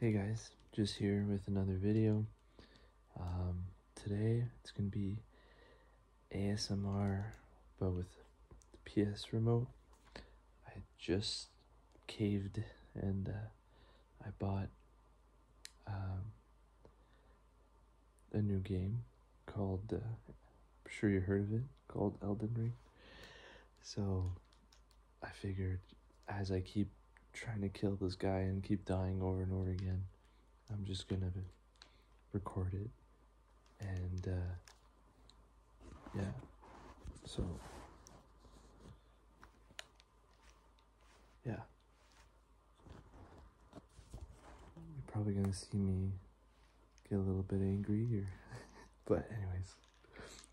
Hey guys, just here with another video. Um, today it's going to be ASMR but with PS remote. I just caved and uh, I bought um, a new game called, uh, I'm sure you heard of it, called Elden Ring. So I figured as I keep trying to kill this guy and keep dying over and over again, I'm just gonna record it. And, uh, yeah. So, yeah. You're probably gonna see me get a little bit angry here. but, anyways,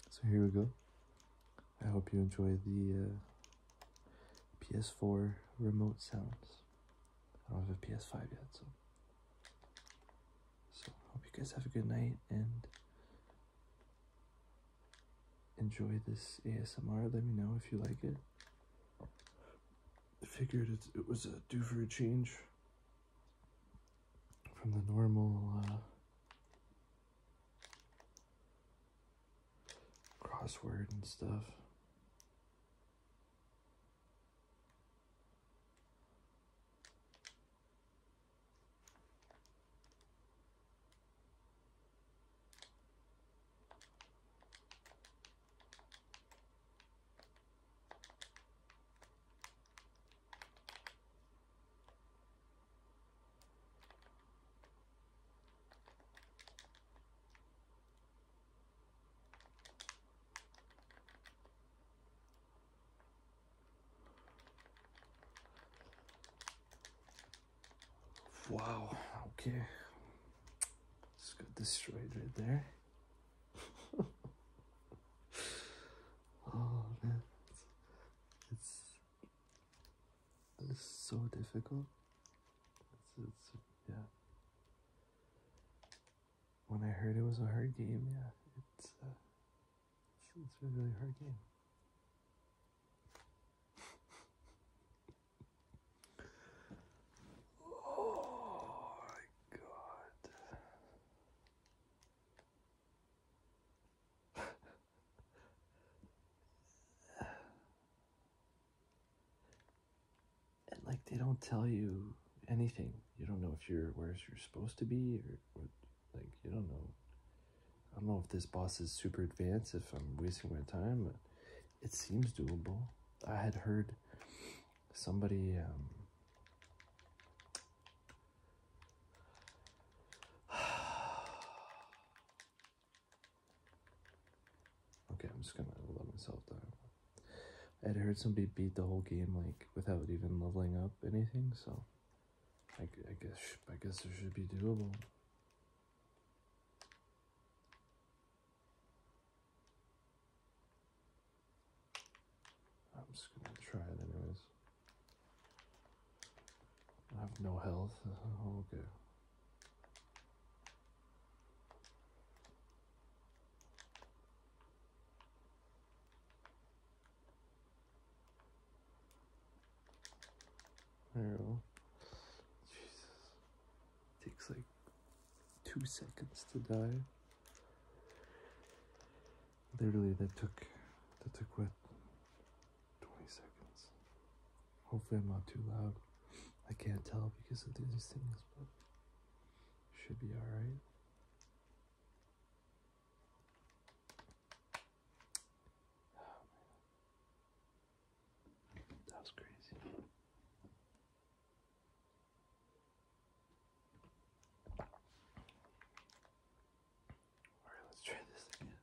so here we go. I hope you enjoy the uh, PS4 remote sounds. I don't have a PS5 yet, so. So, hope you guys have a good night and enjoy this ASMR. Let me know if you like it. I figured it, it was a do for a change from the normal uh, crossword and stuff. Wow, okay. Let's get destroyed right there. oh man, it's this is so difficult. yeah. When I heard it was a hard game, yeah, it's uh, it's, it's a really hard game. oh my god. and like they don't tell you anything you don't know if you're where you're supposed to be or, or like you don't know i don't know if this boss is super advanced if i'm wasting my time but it seems doable i had heard somebody um, okay, I'm just gonna let myself down. I'd heard somebody beat the whole game like without even leveling up anything, so I, I guess I guess there should be doable. I'm just gonna try it anyways. I have no health. Oh, okay. There Jesus. Takes like two seconds to die literally that took that took what 20 seconds hopefully i'm not too loud i can't tell because of these things but should be all right that was crazy Alright, let's try this again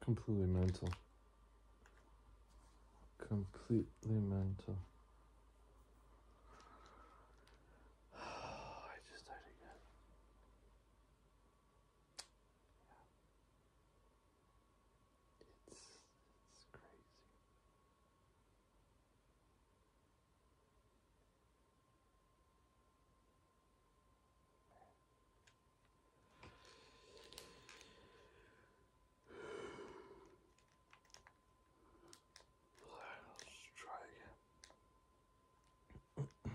completely mental. Completely mental. I just died again. Yeah. It's it's crazy. Let's try again.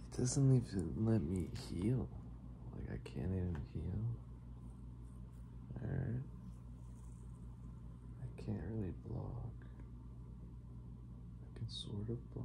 it doesn't even let me heal. Like I can't even heal. Alright. I can't really block. I can sort of block.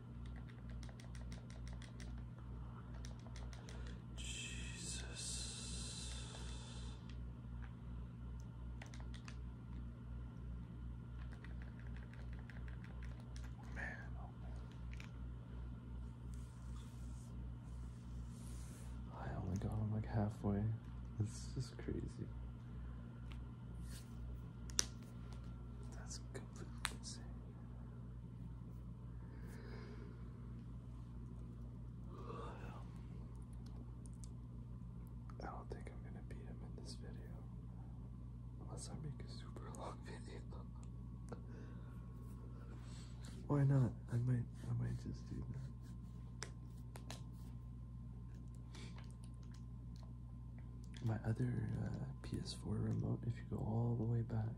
Jesus. Man, oh I only got like halfway. It's just crazy. That's completely insane. I don't think I'm gonna beat him in this video. Unless I make a super long video. Why not? I might I might just do that. My other uh, PS4 remote, if you go all the way back,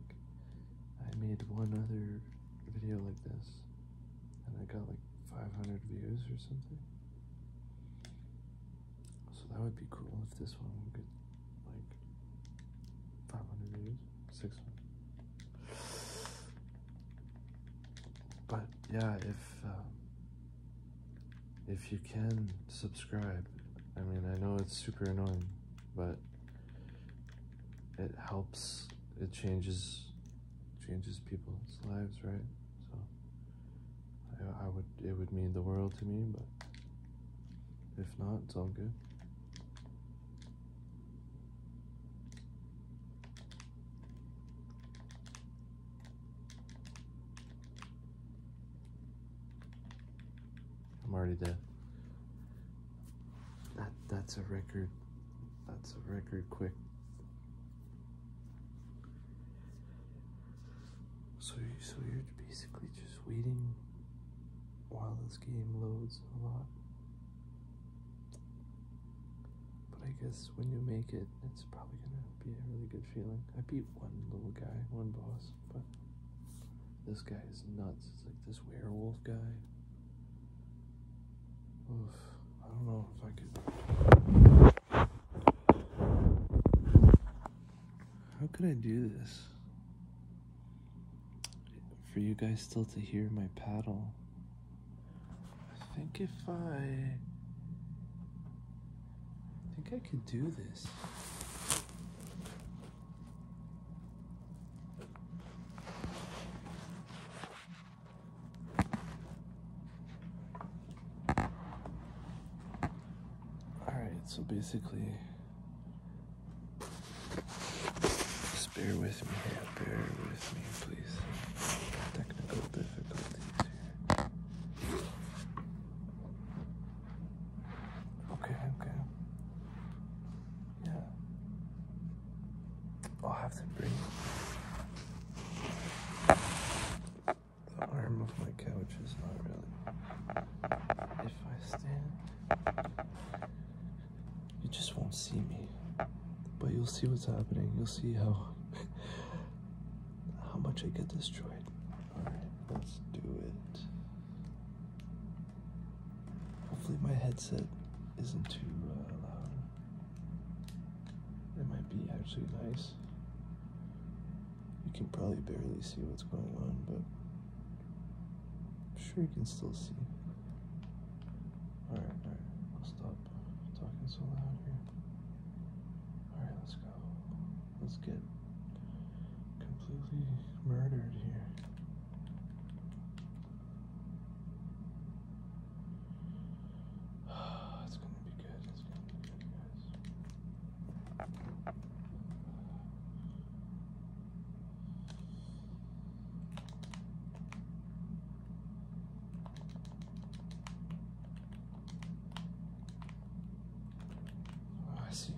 I made one other video like this, and I got like 500 views or something. So that would be cool if this one would get like 500 views, 600. But yeah, if um, if you can subscribe i mean i know it's super annoying but it helps it changes changes people's lives right so i, would it would mean the world to me but if not it's all good I'm already dead. That that's a record. That's a record quick. So you so you're basically just waiting while this game loads a lot. But I guess when you make it, it's probably gonna be a really good feeling. I beat one little guy, one boss but this guy is nuts. It's like this werewolf guy. Oof, I don't know if I could. How could I do this? For you guys still to hear my paddle. I think if I I think I could do this. Alright, so basically, just bear with me bear with me, please. Technical difficulties here. Okay, okay. Yeah. I'll have to bring the arm of my couch is not really. If I stand, you just won't see me. But you'll see what's happening. You'll see how how much I get destroyed. Alright, let's do it. Hopefully, my headset isn't too uh, loud. It might be actually nice. You can probably barely see what's going on, but I'm sure you can still see. Alright, alright, I'll stop talking so loud here. Alright, let's go. Let's get completely murdered here. it's gonna be good. It's gonna be good, guys. Oh, I see.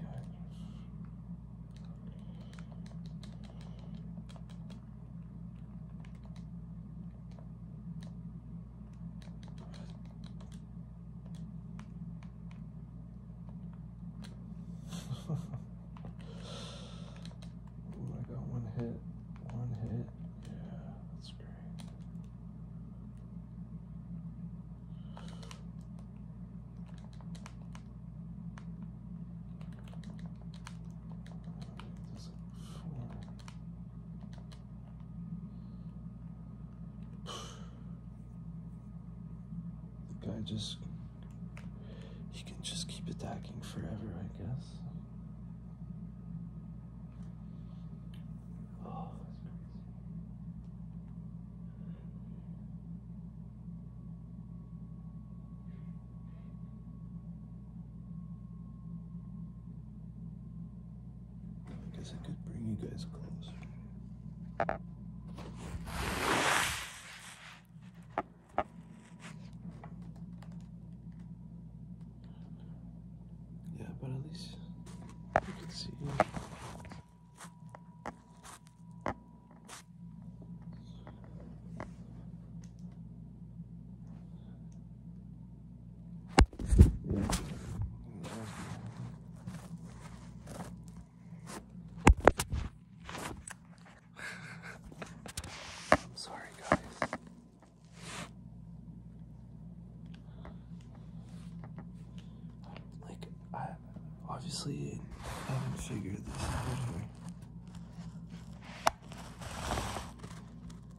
Ooh, I got one hit. One hit. Yeah, that's great. The guy just he can just keep attacking forever, I guess. Oh, I guess I could bring you guys closer. Yeah, but at least you can see I'm sorry, guys. Like, I obviously haven't figured this out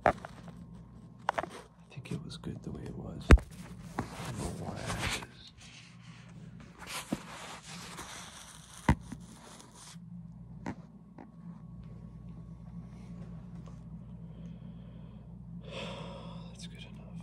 I think it was good the way it was. The Y axis. That's good enough.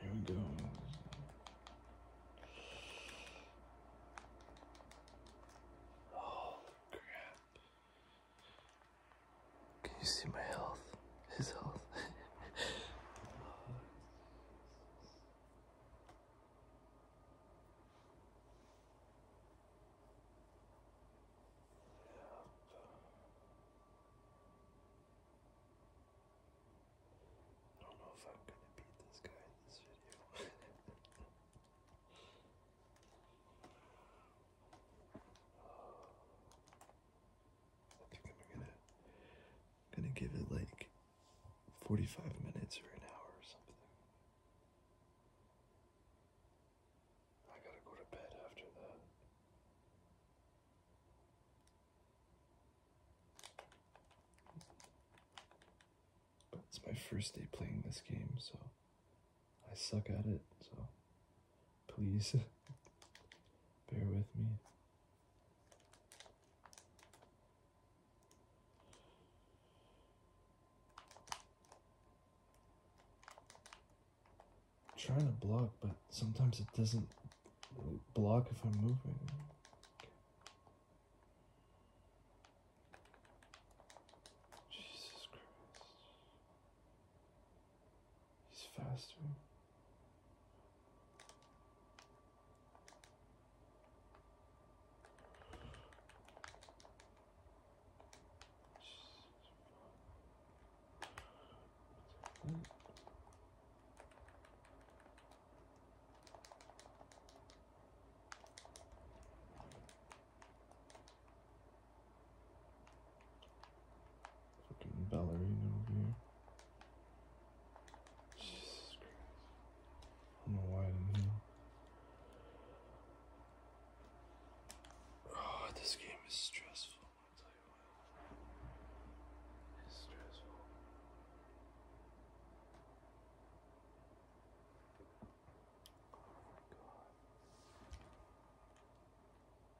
Here we go. Oh crap. Can you see my health? His health. I don't know if I'm gonna beat this guy in this video. I think I'm gonna gonna give it like 45 minutes or an hour or something. I gotta go to bed after that. But it's my first day playing this game, so I suck at it, so Please bear with me. trying to block, but sometimes it doesn't block if I'm moving. Jesus Christ. He's faster. Fucking ballerina over here. Jesus I don't know why I didn't heal. Oh, this game is stressful. i tell you what. It's stressful. Oh my god.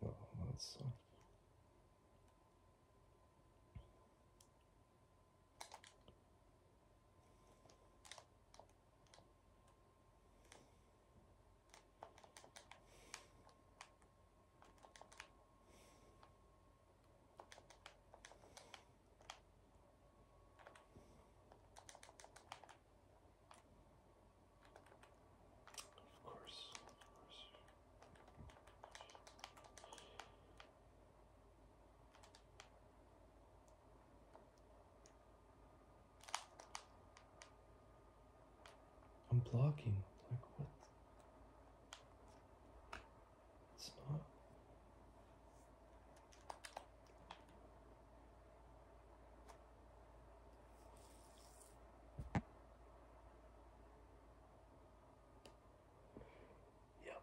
Well, that of course, of course. I'm blocking. Like what? It's not. Yep.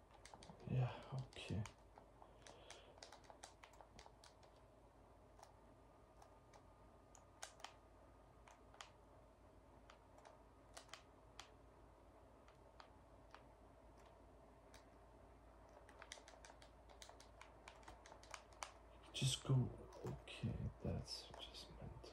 Yeah, okay. Just go, okay, that's just meant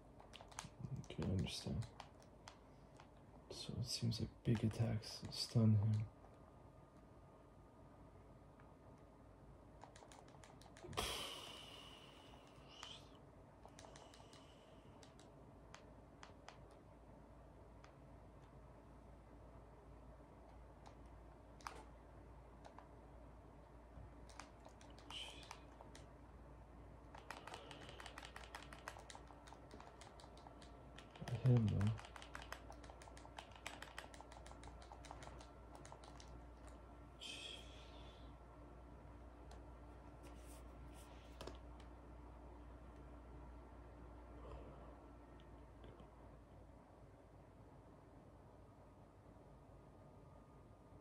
Okay, I understand. So it seems like big attacks stun him. I hid them.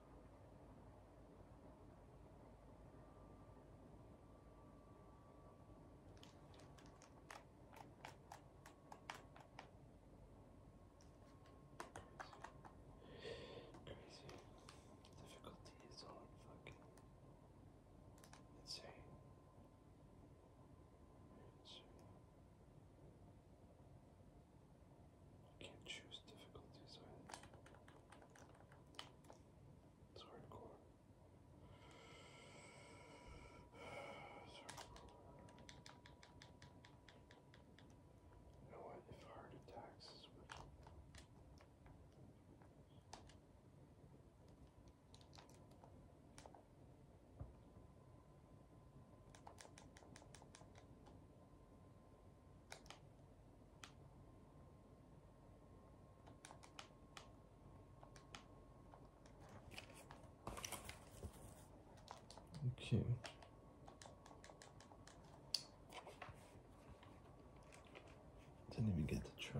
Crazy. Difficulty is all fucking insane. insane. I can't choose difficulties either. It's hardcore. It's You know what? If heart attacks Okay. Didn't even get to try.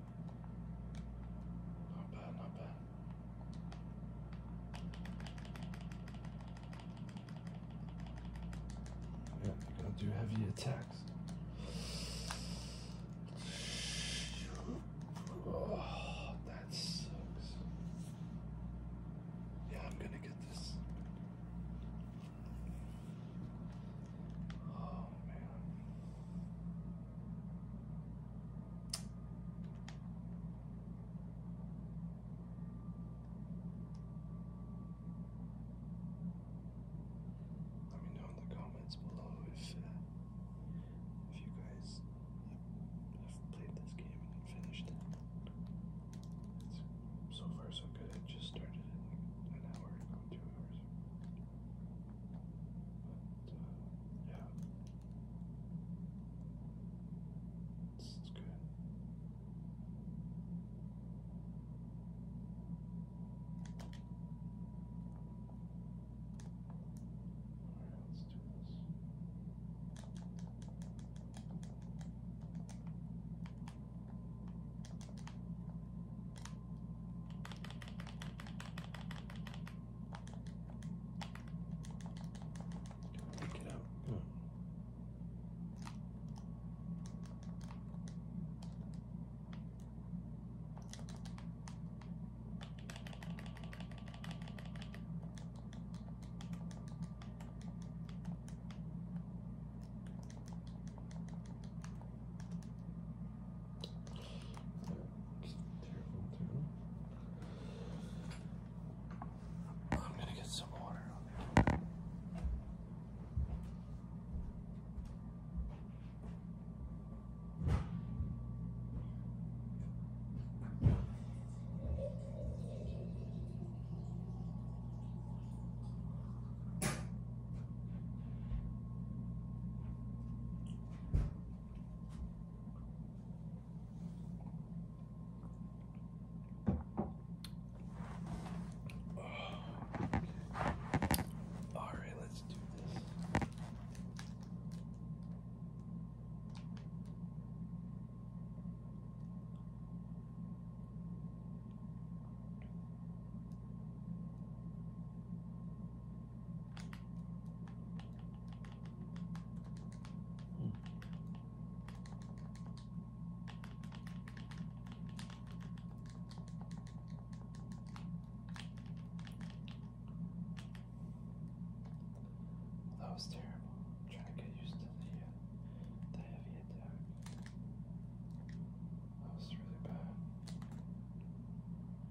Not bad, not bad. Yeah, they're to do heavy attacks. Oh, that sucks. Yeah, I'm gonna get this. Oh man. Let me know in the comments below if uh, if you guys have played this game and finished it. so far so good. I just started it an hour two hours. But, uh, yeah. It's, good. let's do this. Pick it out. Hmm. I'm gonna get some water on there. Alright, let's do this. That was terrible. I'm trying to get used to the, uh, the heavy attack. That was really bad.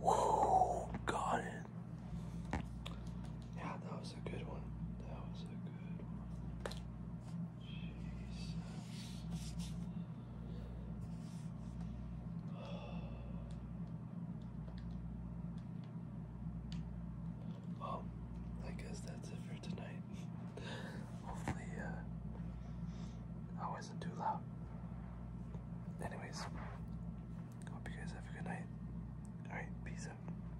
Whoa, got it. Yeah, that was a good one. That was a good one. Jesus. Well, I guess that's it for tonight. Hopefully, uh, I wasn't too loud. Anyways, hope you guys have a good night. Alright, peace out.